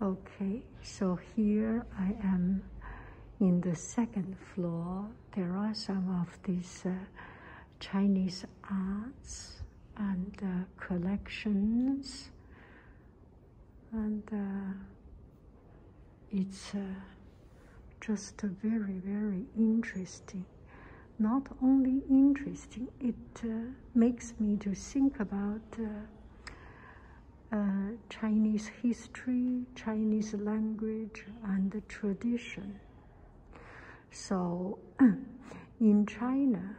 Okay, so here I am in the second floor. There are some of these uh, Chinese arts and uh, collections, and uh, it's just very, very interesting. Not only interesting, it makes me to think about uh, Chinese history, Chinese language, and tradition. So, in China,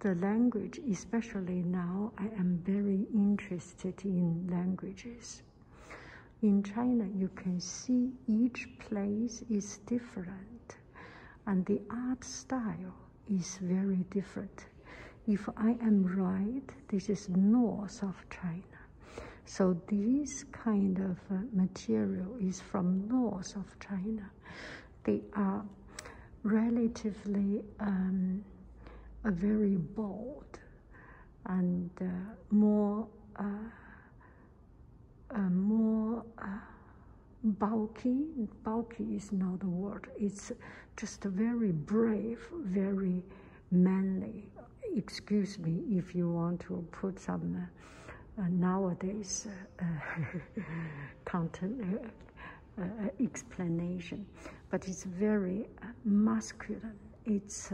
the language, especially now, I am very interested in languages. In China, you can see each place is different, and the art style is very different. If I am right, this is north of China. So this kind of uh, material is from north of China. They are relatively um, very bold and uh, more uh, more bulky. Bulky is not the word. It's just very brave, very manly. Excuse me if you want to put some uh, nowadays uh, content uh, uh, explanation, but it's very masculine. It's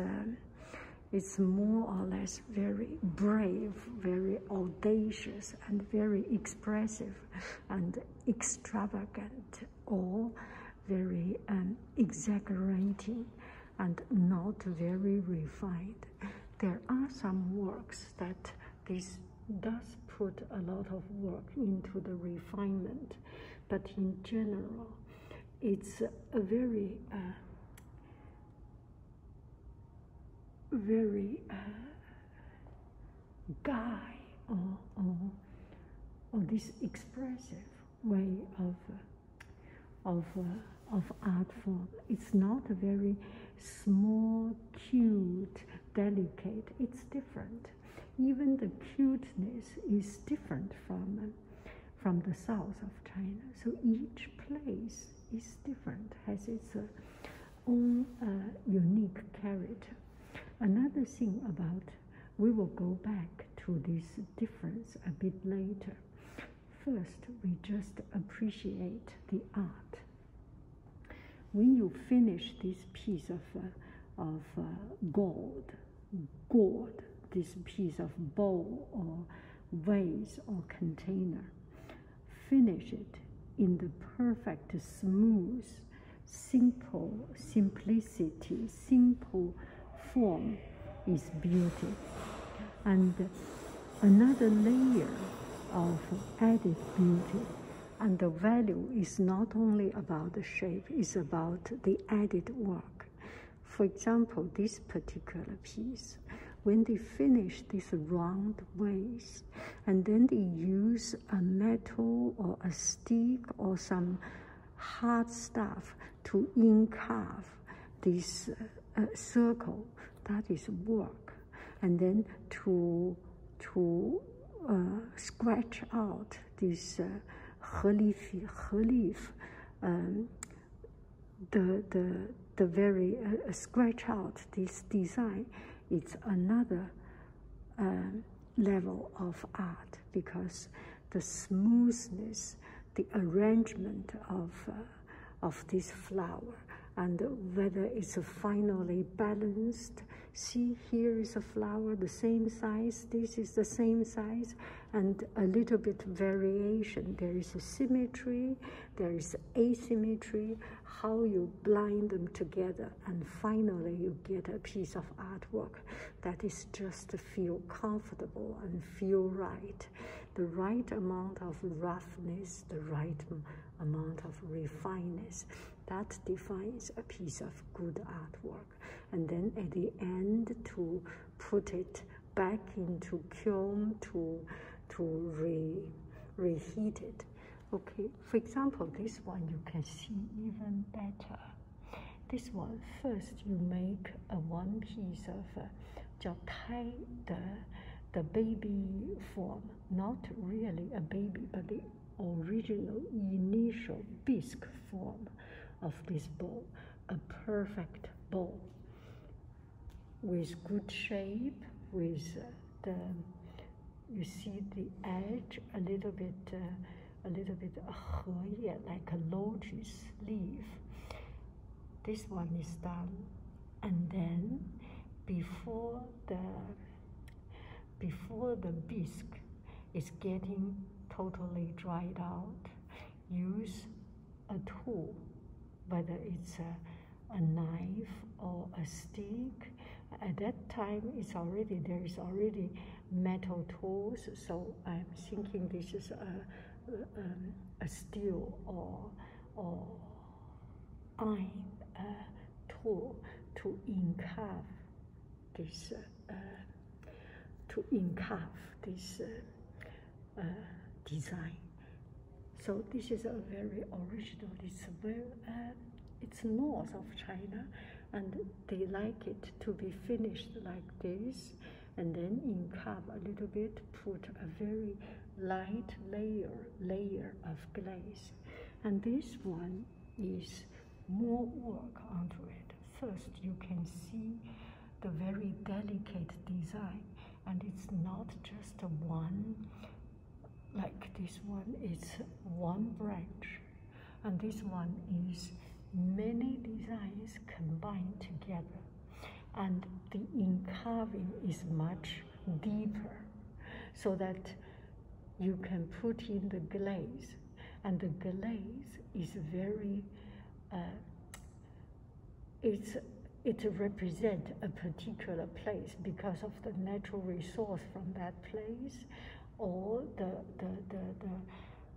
it's more or less very brave, very audacious, and very expressive. and extravagant or very um, exaggerating and not very refined. There are some works that this does put a lot of work into the refinement, but in general, it's a very, uh, very uh, guy or, or, this expressive way of, uh, of, uh, of art form. It's not a very small, cute, delicate, it's different. Even the cuteness is different from, uh, from the south of China. So each place is different, has its own unique character. Another thing about, we will go back to this difference a bit later. First, we just appreciate the art. When you finish this piece of, uh, of uh, gold, this piece of bowl or vase or container, finish it in the perfect smooth simple simplicity, simple form is beauty. And another layer of added beauty and the value is not only about the shape, it's about the added work. For example, this particular piece, when they finish this round waist, and then they use a metal or a stick or some hard stuff to incarve this uh, uh, circle. That is work. And then to, to uh, scratch out this uh, relief, um, the, the, the very scratch out this design, it's another um, level of art because the smoothness, the arrangement of, uh, of this flower and whether it's finally balanced. See, here is a flower the same size, this is the same size, and a little bit variation. There is symmetry, there is asymmetry, how you bind them together and finally you get a piece of artwork that is just to feel comfortable and feel right the right amount of roughness the right amount of refineness that defines a piece of good artwork and then at the end to put it back into kiln to to reheat it okay for example, this one you can see even better. This one, first you make a one piece of uh, the, baby form, not really a baby, but the original initial bisque form of this ball, a perfect bowl with good shape, with uh, the you see the edge a little bit, uh, a little bit uh, like a lotus leaf. This one is done, and then before the before the bisque is getting totally dried out, use a tool, whether it's a, a knife or a stick at that time it's already there is already metal tools so i'm thinking this is a, um, steel or or iron uh, tool to incarve this to encarve this uh, uh, design so this is a very original it's very um, it's north of China and they like it to be finished like this and then in cup a little bit put a very light layer layer of glaze and this one is more work onto it first you can see the very delicate design and it's not just one like this one is one branch and this one is many designs combined together and the carving is much deeper so that you can put in the glaze and the glaze is very uh, it's it represents a particular place because of the natural resource from that place or the, the, the,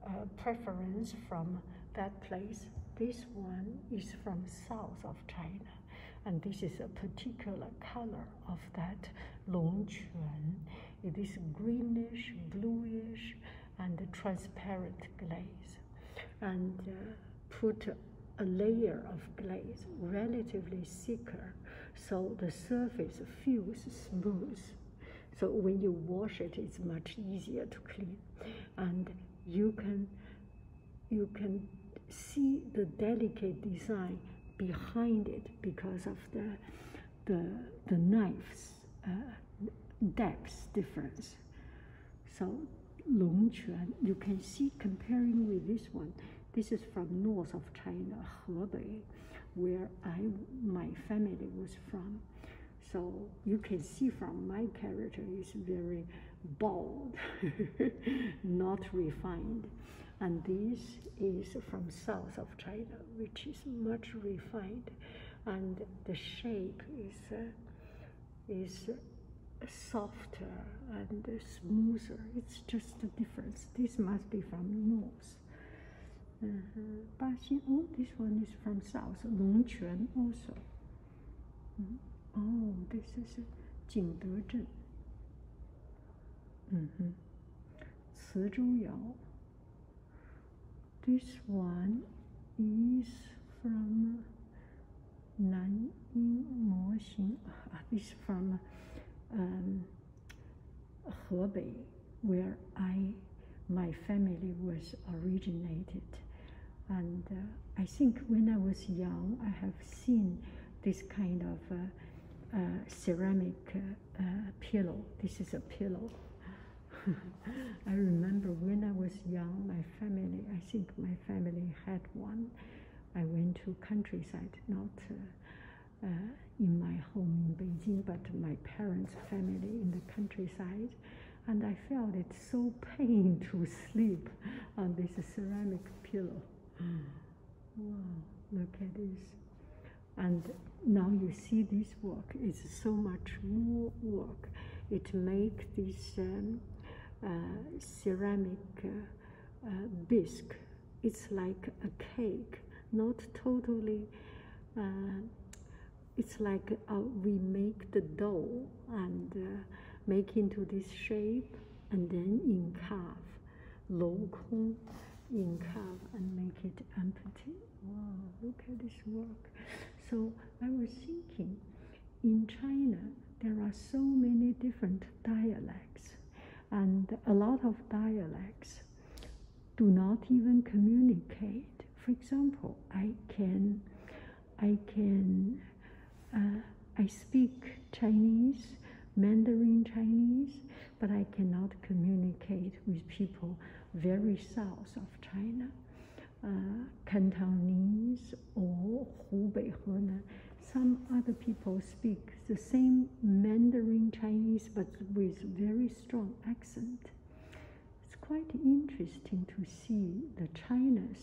uh, preference from that place. This one is from south of China, and this is a particular color of that longquan. It is greenish, bluish, and transparent glaze, and uh, put a layer of glaze relatively thicker so the surface feels smooth. So when you wash it, it's much easier to clean, and you can you can see the delicate design behind it because of the the the knife's uh, depth difference. So Longquan, you can see comparing with this one, this is from north of China, Hebei, where I, my family was from. So you can see from my character is very bold, not refined. And this is from south of China, which is much refined. And the shape is, uh, is softer and smoother. It's just a difference. This must be from north. Uh-huh. Oh, this one is from south. Longquan also. Mm-hmm. Oh, this is Jingdezhen. Mm-hmm. This one is from Nanjing Moxing. Ah, this from um, Hebei, where I, my family was originated. And uh, I think when I was young, I have seen this kind of uh, uh, ceramic pillow. This is a pillow. I remember when I was young, my family, I think my family had one. I went to countryside, not uh, in my home in Beijing, but my parents' family in the countryside. And I felt it so pain to sleep on this ceramic pillow. Hmm. Wow, look at this. And now you see this work is so much more work. It makes this um, uh, ceramic uh, uh it's like a cake, not totally. Uh, it's like uh, we make the dough and uh, make into this shape and then incave, lou kong, incave and make it empty. Wow, look at this work. So I was thinking, in China, there are so many different dialects and a lot of dialects do not even communicate. For example, I can, I can, uh, I speak Chinese, Mandarin Chinese, but I cannot communicate with people very south of China. Uh, Cantonese or Hubei, Henan some other people speak the same Mandarin Chinese but with very strong accent. It's quite interesting to see the China's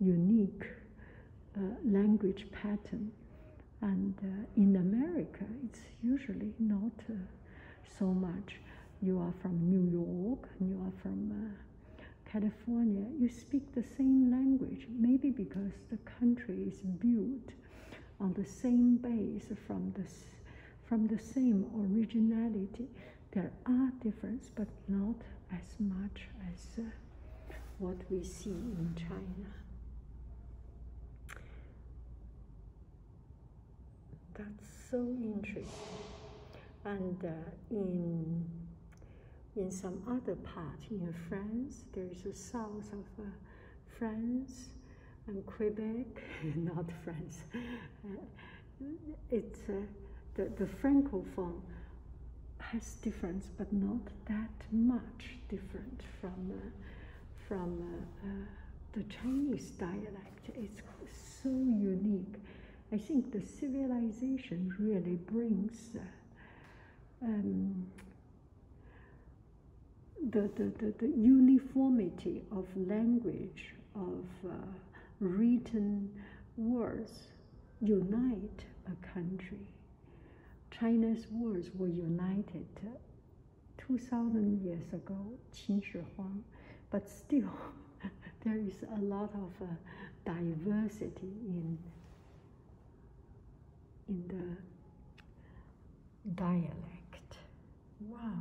unique uh, language pattern. And uh, in America, it's usually not uh, so much. You are from New York, you are from California, you speak the same language, maybe because the country is built on the same base from the, from the same originality. There are differences, but not as much as uh, what we see in China. That's so interesting. And uh, in in some other part in France, there is a south of uh, France and Quebec, not France. Uh, it's uh, the, the Francophone has difference, but not that much different from uh, from the Chinese dialect. It's so unique. I think the civilization really brings um, the, the, the, the uniformity of language, of uh, written words, unite a country. China's words were united 2,000 years ago, Qin Shi Huang, but still there is a lot of uh, diversity in in the dialect. Wow,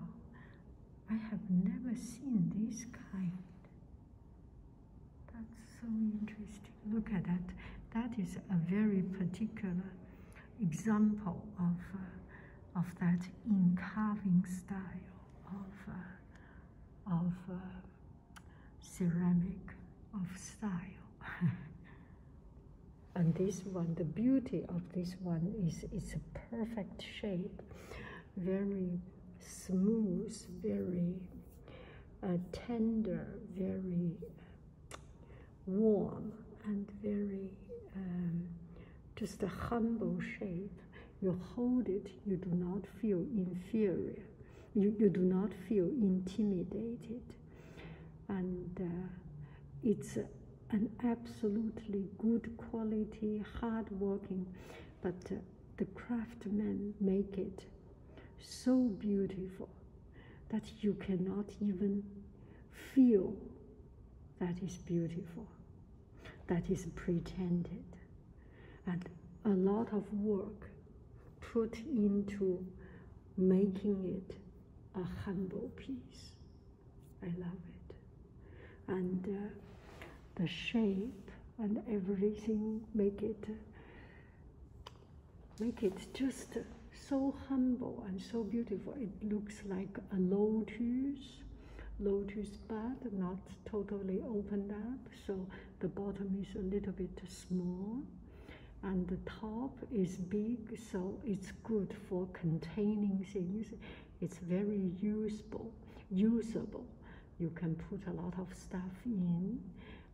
I have never seen this kind. That's so interesting. Look at that. That is a very particular example of, uh, of that incarving style of, uh, of uh, ceramic of style. and this one, the beauty of this one is it's a perfect shape, very smooth, very uh, tender, very uh, warm, and very um, just a humble shape. You hold it, you do not feel inferior you, you do not feel intimidated. And uh, it's an absolutely good quality, hard working, but uh, the craftsmen make it so beautiful that you cannot even feel that is beautiful, that is pretended. And a lot of work put into making it a humble piece. I love it. And uh, the shape and everything make it make it just so humble and so beautiful. It looks like a lotus, lotus bud, not totally opened up. So the bottom is a little bit small and the top is big so it's good for containing things it's very usable usable you can put a lot of stuff in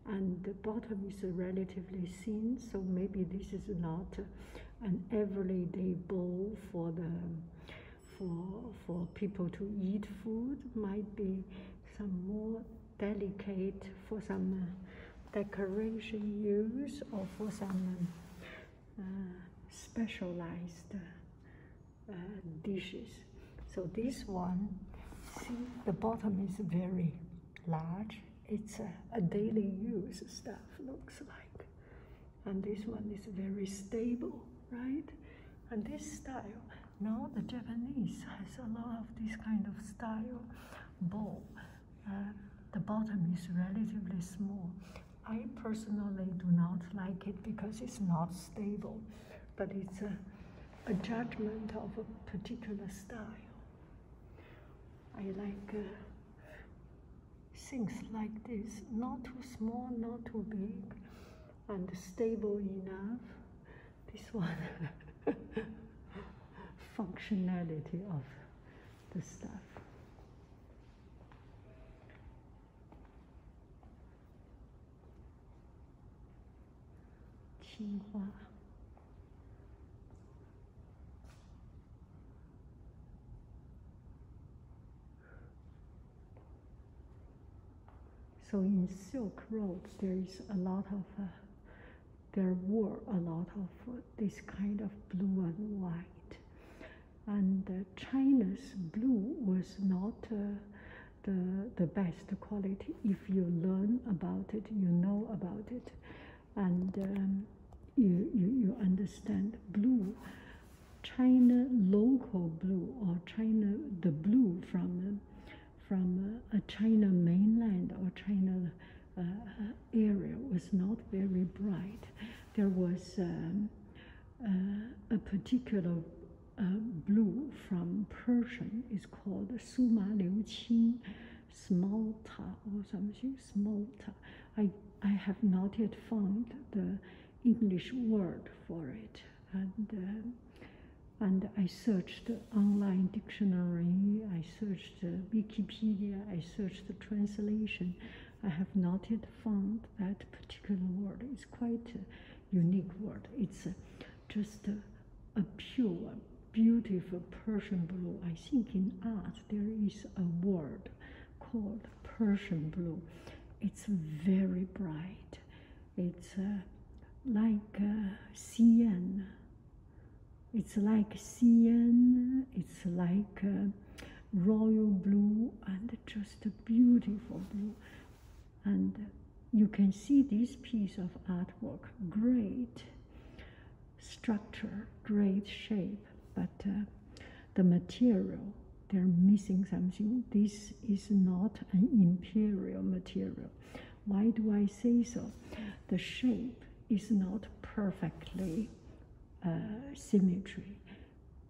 and the bottom is relatively thin so maybe this is not an everyday bowl for the for for people to eat food might be some more delicate for some uh, decoration use or for some uh, specialized uh, dishes. So this one, see the bottom is very large. It's a, daily use stuff looks like. And this one is very stable, right? And this style, now the Japanese has a lot of this kind of style bowl. Uh, the bottom is relatively small. I personally do not like it because it's not stable, but it's a, judgment of a particular style. I like uh, things like this, not too small, not too big, and stable enough this one functionality of the stuff. Qinghua. So in Silk Road, there is a lot of uh, there were a lot of this kind of blue and white. And uh, China's blue was not uh, the, the best quality. If you learn about it, you know about it, and um, you, you, you understand blue. China local blue or China the blue from from uh, China mainland or China uh, area was not very bright. There was um, uh, a particular uh, blue from Persian, it's called Suma Liu Qin, Smalta or something, Smalta. I, I have not yet found the English word for it. And um, and I searched online dictionary, I searched Wikipedia, I searched the translation. I have not yet found that particular word. It's quite a unique word. It's just a, pure, beautiful Persian blue. I think in art there is a word called Persian blue. It's very bright. It's uh, like sienna. Uh, it's like cyan, it's like uh, royal blue, and just a beautiful blue. And you can see this piece of artwork, great structure, great shape, but uh, the material, they're missing something. This is not an imperial material. Why do I say so? The shape is not perfectly uh, symmetry.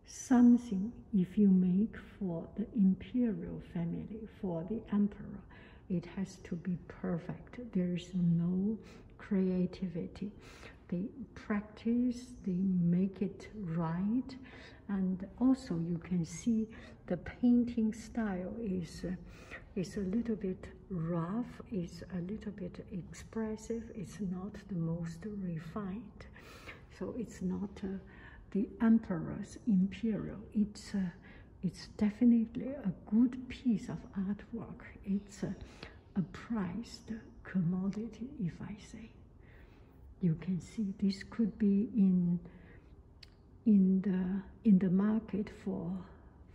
Something, if you make for the imperial family, for the emperor, it has to be perfect. There is no creativity. They practice, they make it right, and also you can see the painting style is uh, is a little bit rough, it's a little bit expressive, it's not the most refined. So it's not uh, the emperor's imperial. It's uh, it's definitely a good piece of artwork. It's a, a prized commodity, if I say. You can see this could be in in the in the market for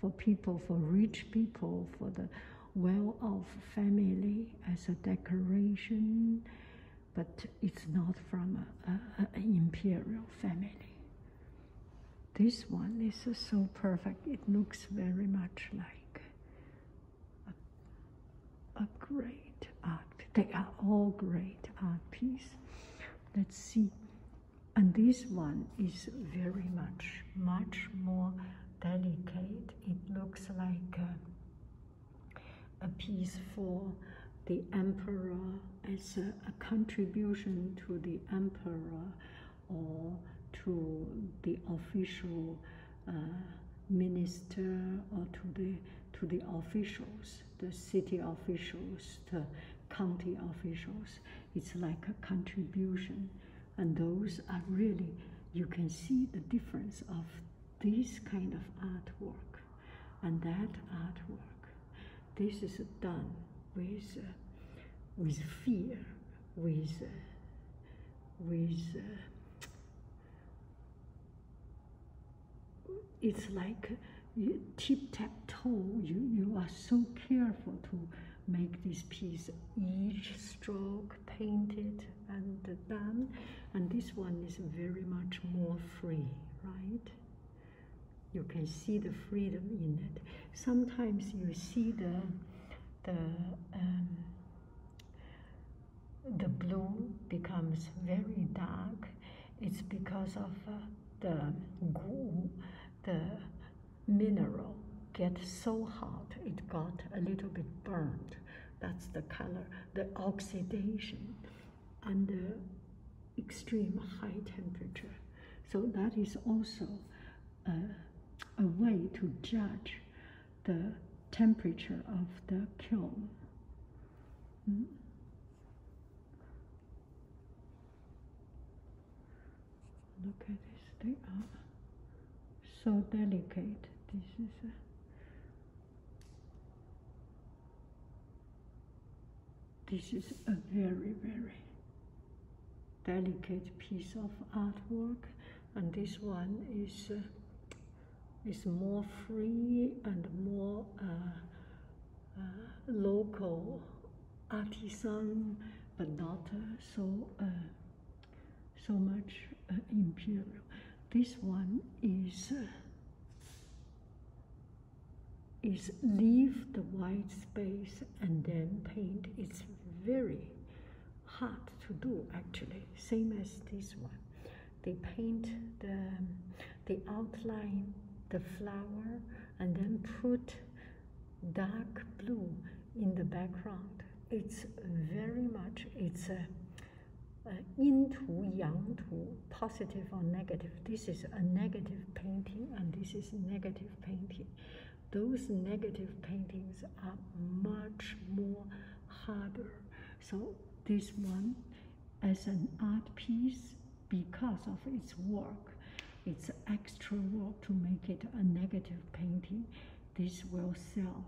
for people for rich people for the well-off family as a decoration but it's not from an imperial family this one this is so perfect it looks very much like a, a great art they are all great art piece let's see and this one is very much, much more delicate. It looks like a, piece for the emperor It's a, contribution to the emperor or to the official uh, minister or to the to the officials, the city officials, the county officials. It's like a contribution. And those are really, you can see the difference of this kind of artwork and that artwork. This is done with, uh, with fear, with, uh, with uh, it's like tip-tap-toe, you, you are so careful to make this piece each stroke painted and done and this one is very much more free right you can see the freedom in it sometimes you see the the um, the blue becomes very dark it's because of uh, the goo the mineral get so hot it got a little bit burned. That's the color, the oxidation under extreme high temperature. So that is also a, way to judge the temperature of the kiln. Mm. Look at this, they are so delicate. This is a this is a very very delicate piece of artwork and this one is uh, is more free and more uh, uh, local artisan, but not uh, so uh, so much uh, imperial. This one is is leave the white space and then paint. It's very hard to do actually, same as this one. They paint the, the outline, the flower, and then put dark blue in the background. It's very much, it's a, a yin tu, positive or negative. This is a negative painting and this is negative painting. Those negative paintings are much more harder. So this one, as an art piece, because of its work, its extra work to make it a negative painting, this will sell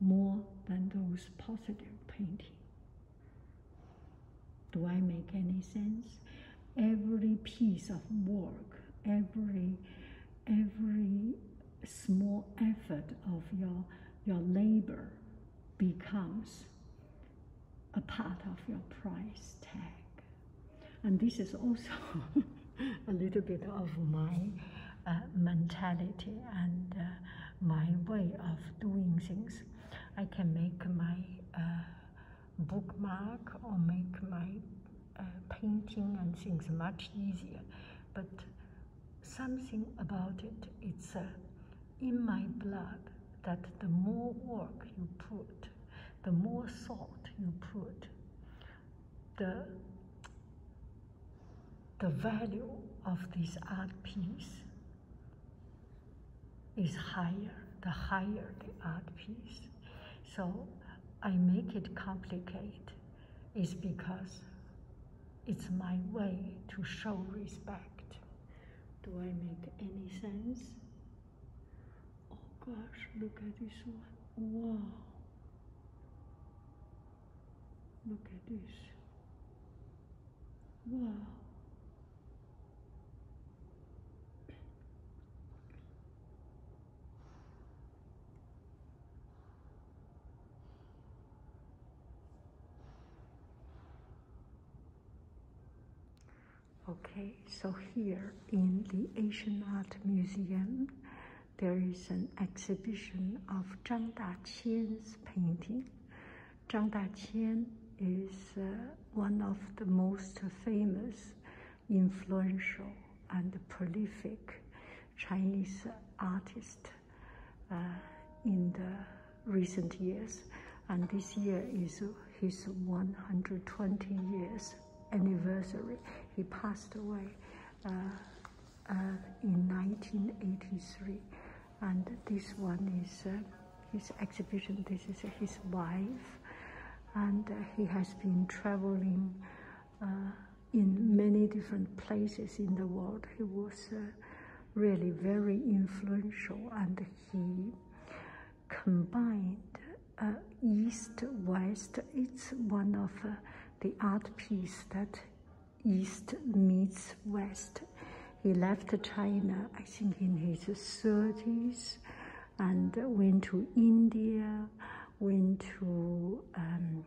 more than those positive painting. Do I make any sense? Every piece of work, every every small effort of your your labor becomes a part of your price tag. And this is also a little bit of my uh, mentality and uh, my way of doing things. I can make my uh, bookmark or make my painting and things much easier, but something about it, it's in my blood that the more work you put, the more salt you put, the, the value of this art piece is higher, the higher the art piece. So I make it complicated is because it's my way to show respect. Do I make any sense? Oh gosh, look at this one. Wow. Look at this. Wow. Okay, so here in the Asian Art Museum, there is an exhibition of Zhang Daqian's painting. Zhang Daqian is uh, one of the most famous, influential, and prolific Chinese artists uh, in the recent years and this year is his 120 years anniversary. He passed away uh, uh, in 1983, and this one is uh, his exhibition. This is his wife, and he has been traveling in many different places in the world. He was really very influential, and he combined uh, East-West. It's one of uh, the art piece that East meets West. He left China, I think, in his 30s and went to India, went to um,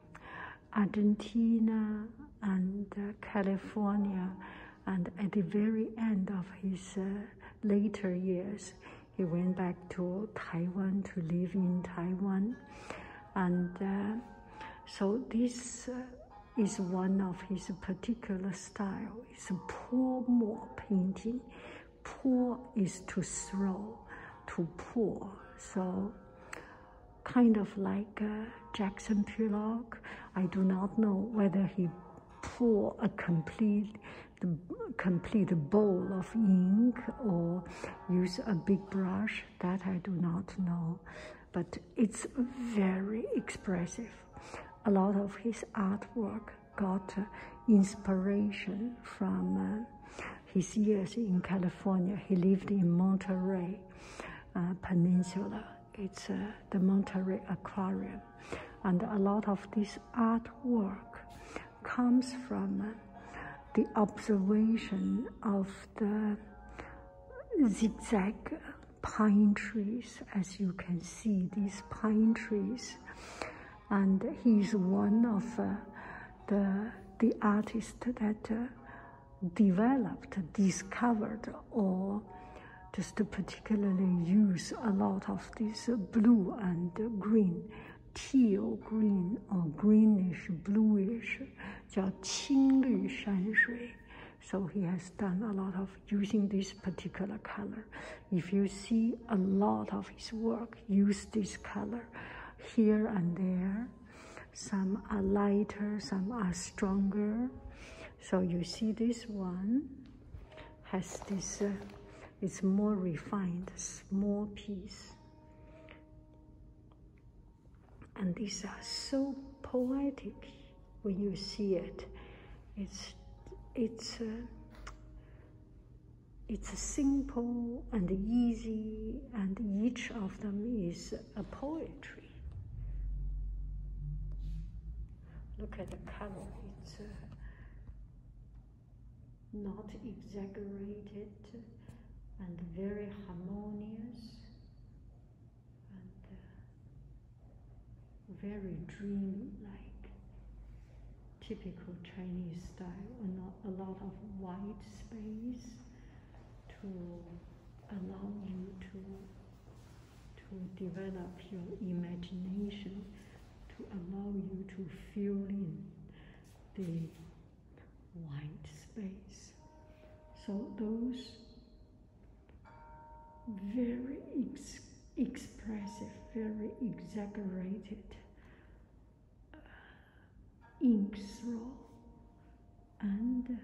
Argentina and uh, California and at the very end of his uh, later years, he went back to Taiwan to live in Taiwan. And uh, so this uh, is one of his particular style. It's a pour more painting. Pour is to throw, to pour. So kind of like Jackson Pollock. I do not know whether he pour a complete complete bowl of ink or use a big brush that I do not know but it's very expressive a lot of his artwork got uh, inspiration from uh, his years in California he lived in Monterey uh, Peninsula it's the Monterey Aquarium and a lot of this artwork comes from the observation of the zigzag pine trees, as you can see, these pine trees. And he's one of uh, the, the artists that uh, developed, discovered, or just to particularly use a lot of this blue and green, teal green or greenish, bluish, So he has done a lot of using this particular color. If you see a lot of his work use this color here and there, some are lighter, some are stronger. So you see this one has this, uh, it's more refined, small piece. And these are so poetic when you see it. It's, it's, uh, it's simple and easy and each of them is a poetry. Look at the color. It's uh, not exaggerated and very harmonious and uh, very dream-like. Typical Chinese style, not a lot of white space to allow you to to develop your imagination, to allow you to fill in the white space. So those very expressive, very exaggerated uh, ink throw and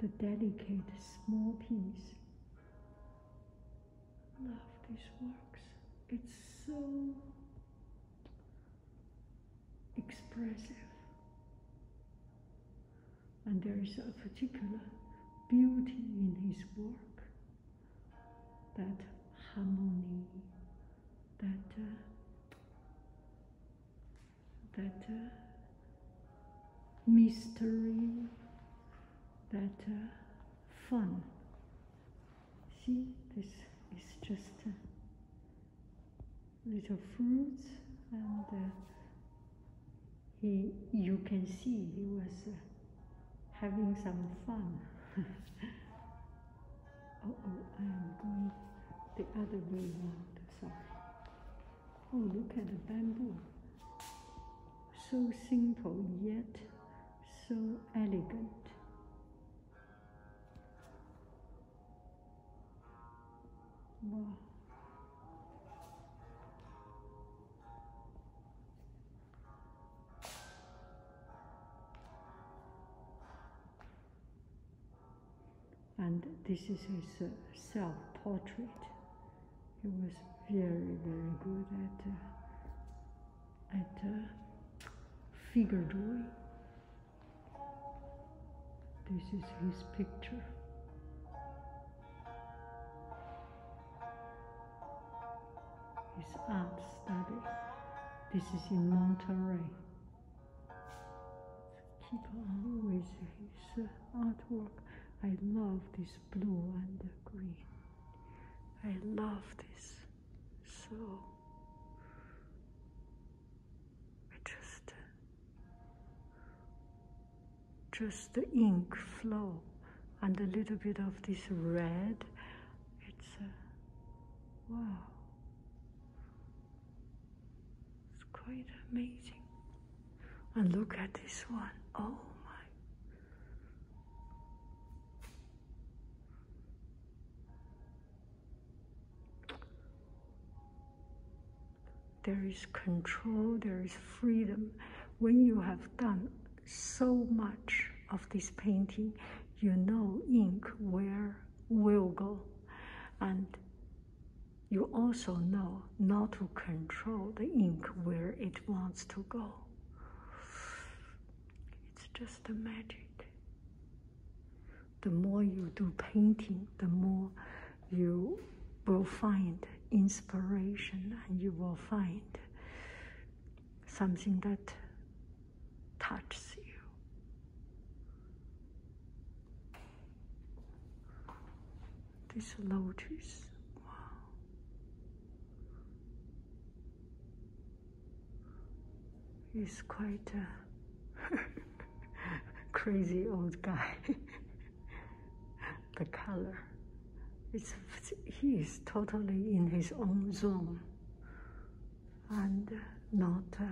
the delicate small piece love these works. It's so expressive. And there is a particular beauty in his work, that harmony, that uh, that uh, mystery, Better uh, fun. See, this is just uh, little fruits, and he, you can see he was uh, having some fun. oh, oh, I am going the other way around. Sorry. Oh, look at the bamboo so simple yet so elegant. And this is his uh, self-portrait he was very, very good at, uh, at uh, figure drawing. This is his picture. His art study. This is in Monterey. Keep always with his uh, artwork. I love this blue and green. I love this so. I just, just the ink flow and a little bit of this red. It's wow. It's quite amazing. And look at this one. Oh my there is control, there is freedom. When you have done so much of this painting, you know ink where will go. And you also know not to control the ink where it wants to go. It's just the magic. The more you do painting, the more you will find inspiration and you will find something that touches you. This lotus, wow. He's quite a crazy old guy. the color. It's, he is totally in his own zone and not, uh,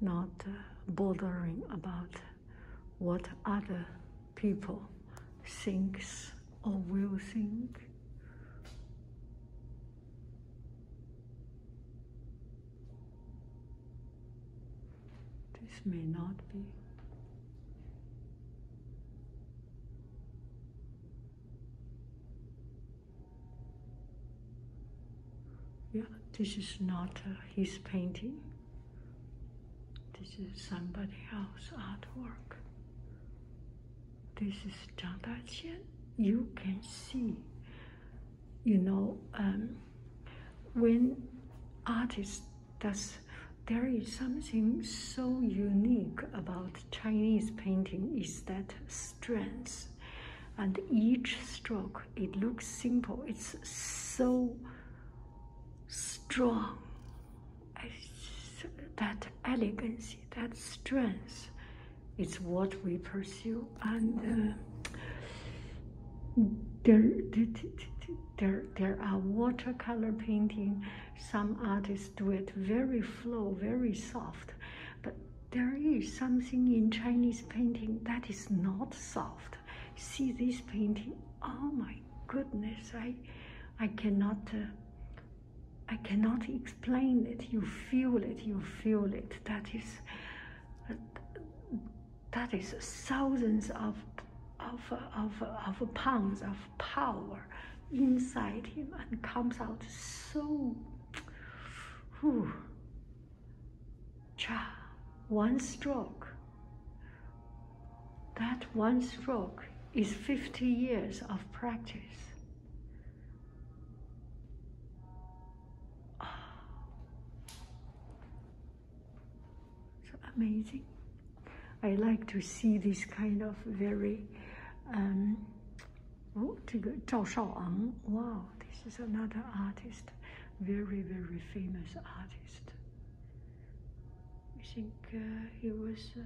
not uh, bothering about what other people thinks or will think. This may not be. Yeah, this is not uh, his painting. This is somebody else artwork. This is Zhang Daqian. You can see, you know, um, when artist does, there is something so unique about Chinese painting is that strength. And each stroke, it looks simple. It's so strong that elegance, that strength is what we pursue. And uh, there, there, there are watercolor painting. Some artists do it very flow, very soft. But there is something in Chinese painting that is not soft. See this painting, oh my goodness, I, I cannot, uh, I cannot explain it. You feel it. You feel it. That is, uh, that is thousands of, of, of, of pounds of power inside him and comes out so. Whew, cha, one stroke that one stroke is 50 years of practice. Ah. amazing. I like to see this kind of very, oh, wow, this is another artist, very, very famous artist. I think he uh, was uh,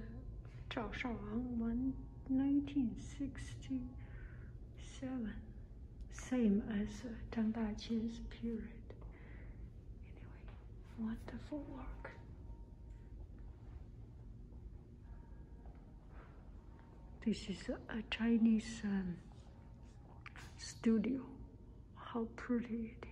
Zhao Shaowang, 1967, same as uh, Deng Daqian's period. Anyway, wonderful work. This is a Chinese um, studio. How pretty it is.